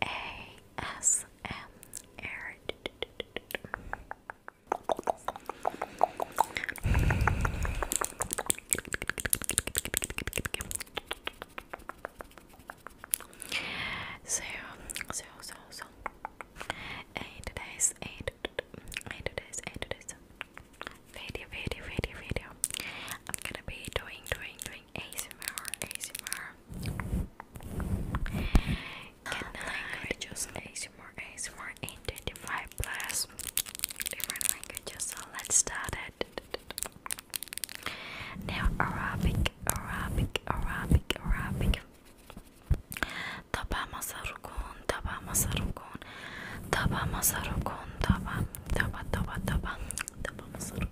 ASMR so, so, so, so. And today's, and, and video, video, video, video. I'm gonna be doing, doing, doing doing ASMR, ASMR. Can I just ASMR, ASMR in 25 plus different languages? So let's start it. Now Arabic, Arabic, Arabic, Arabic. Taba masarukun, taba masarukun, taba masarukun, taba, taba, taba, taba, taba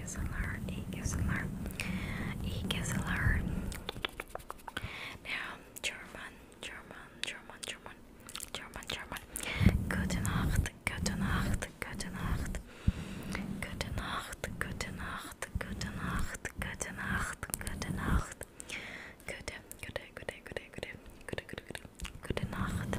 ASMR, ASMR, ASMR. Now, German, German, German, German, German, German. Gute Nacht, gute Nacht, gute Nacht. Gute Nacht, gute Nacht, gute Nacht, gute Nacht, gute Nacht. Gute, gute, gute, gute, gute, gute, gute, gute, gute Nacht.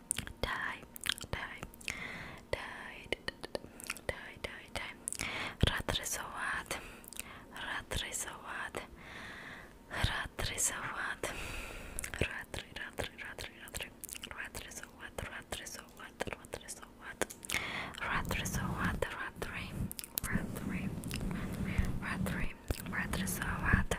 die, die, die, die, die, die. Ratresovat, ratresovat, ratresovat, ratri, ratri, ratri, ratri, ratresovat, ratresovat, ratresovat, ratresovat, ratri, ratri, ratri, ratri, ratresovat.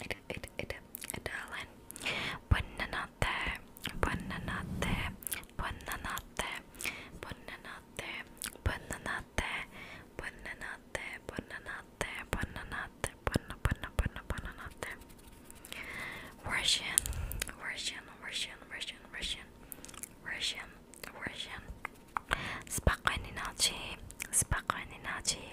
it it it edelleen. Buonanotte, buonanotte, buonanotte, buonanotte, buonanotte, buonanotte, buonanotte, buonanotte, buona buona buona buonanotte. Russian, Russian, Russian, Russian, Russian, Russian, Russian. Spokojnej nocy, spokojnej nocy,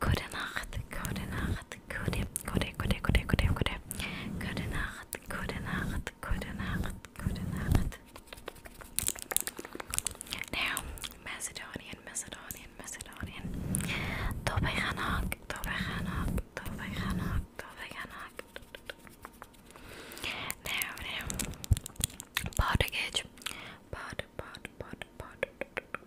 Gute Nacht, gute Nacht, gute, gute, gute, gute, gute, gute. Gute Nacht, gute Nacht, gute Nacht, gute Nacht. Now, Macedonian, Macedonian, Macedonian. Dobay Hanak, Dobay Hanak, Dobay Hanak, Dobay Hanak. Now, now. Portuguese. Pod, pod, pod, pod.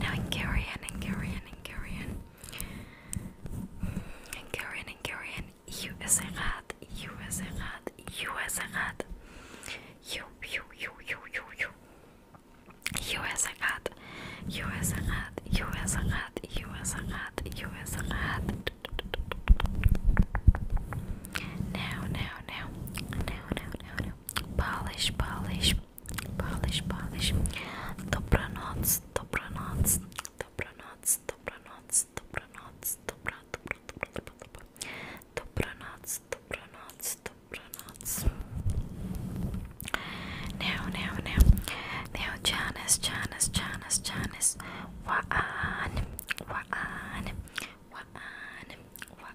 Now, Korean, in Korean, in Korean, in Korean, in Korean, you is a rat, you is a rat, you is a rat, you, you, you, you, you, you, you is a rat, you is a rat, you is a rat, you is a rat, now, now, now, now, now, now. Polish, polish, Polish, Polish. Dobranoc, dobranoc, dobranoc, dobranoc, dobranoc, dobra, dobra, dobra, dobra, dobra. Dobranoc, dobranoc, dobranoc. Now, now, now. Now, Janice, Janice, Janice, Janice. Waan, waan, waan, waan,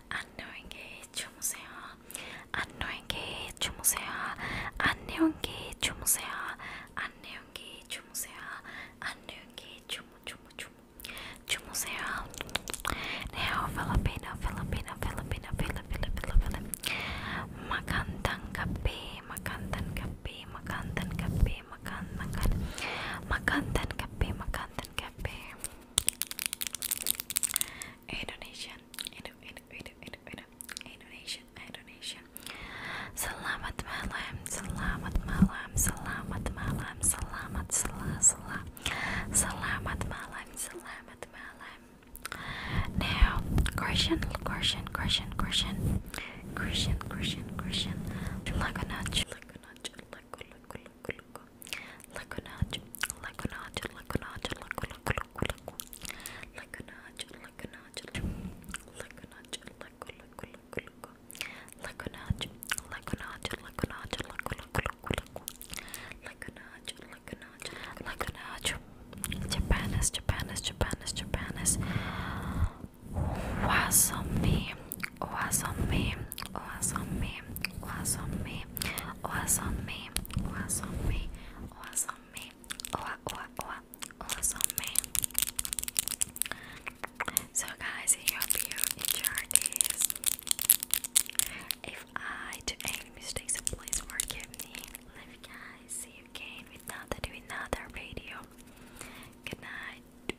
안녕히 주무세요. 안녕히 주무세요. 안녕히 주무세요. 안녕히 주무세요. 안녕히 주무 주무 주무 주무세요. Now Filipino Filipino Filipino Filipino Filipino Magandang gabi, magandang gabi, magandang gabi, magandang gabi, magandang gabi, magandang gabi. Indonesian, Indo, Indo, Indo, Indo, Indo, Indonesian, Indonesian. Selamat malam, selamat malam, selamat malam, selamat sela sela. Selamat malam, selamat malam. Now, question, question, question, question, question, question, question. Lagunaj, lagunaj, lagunaj, Japan is Japan is Japan is Wasami Wasami was on me, was on me, was on me, was on me, was on me, was on me. So guys, in your view, in your days, if I do any mistakes, please forgive me. Love you guys. See you again with another, with another video. Good night.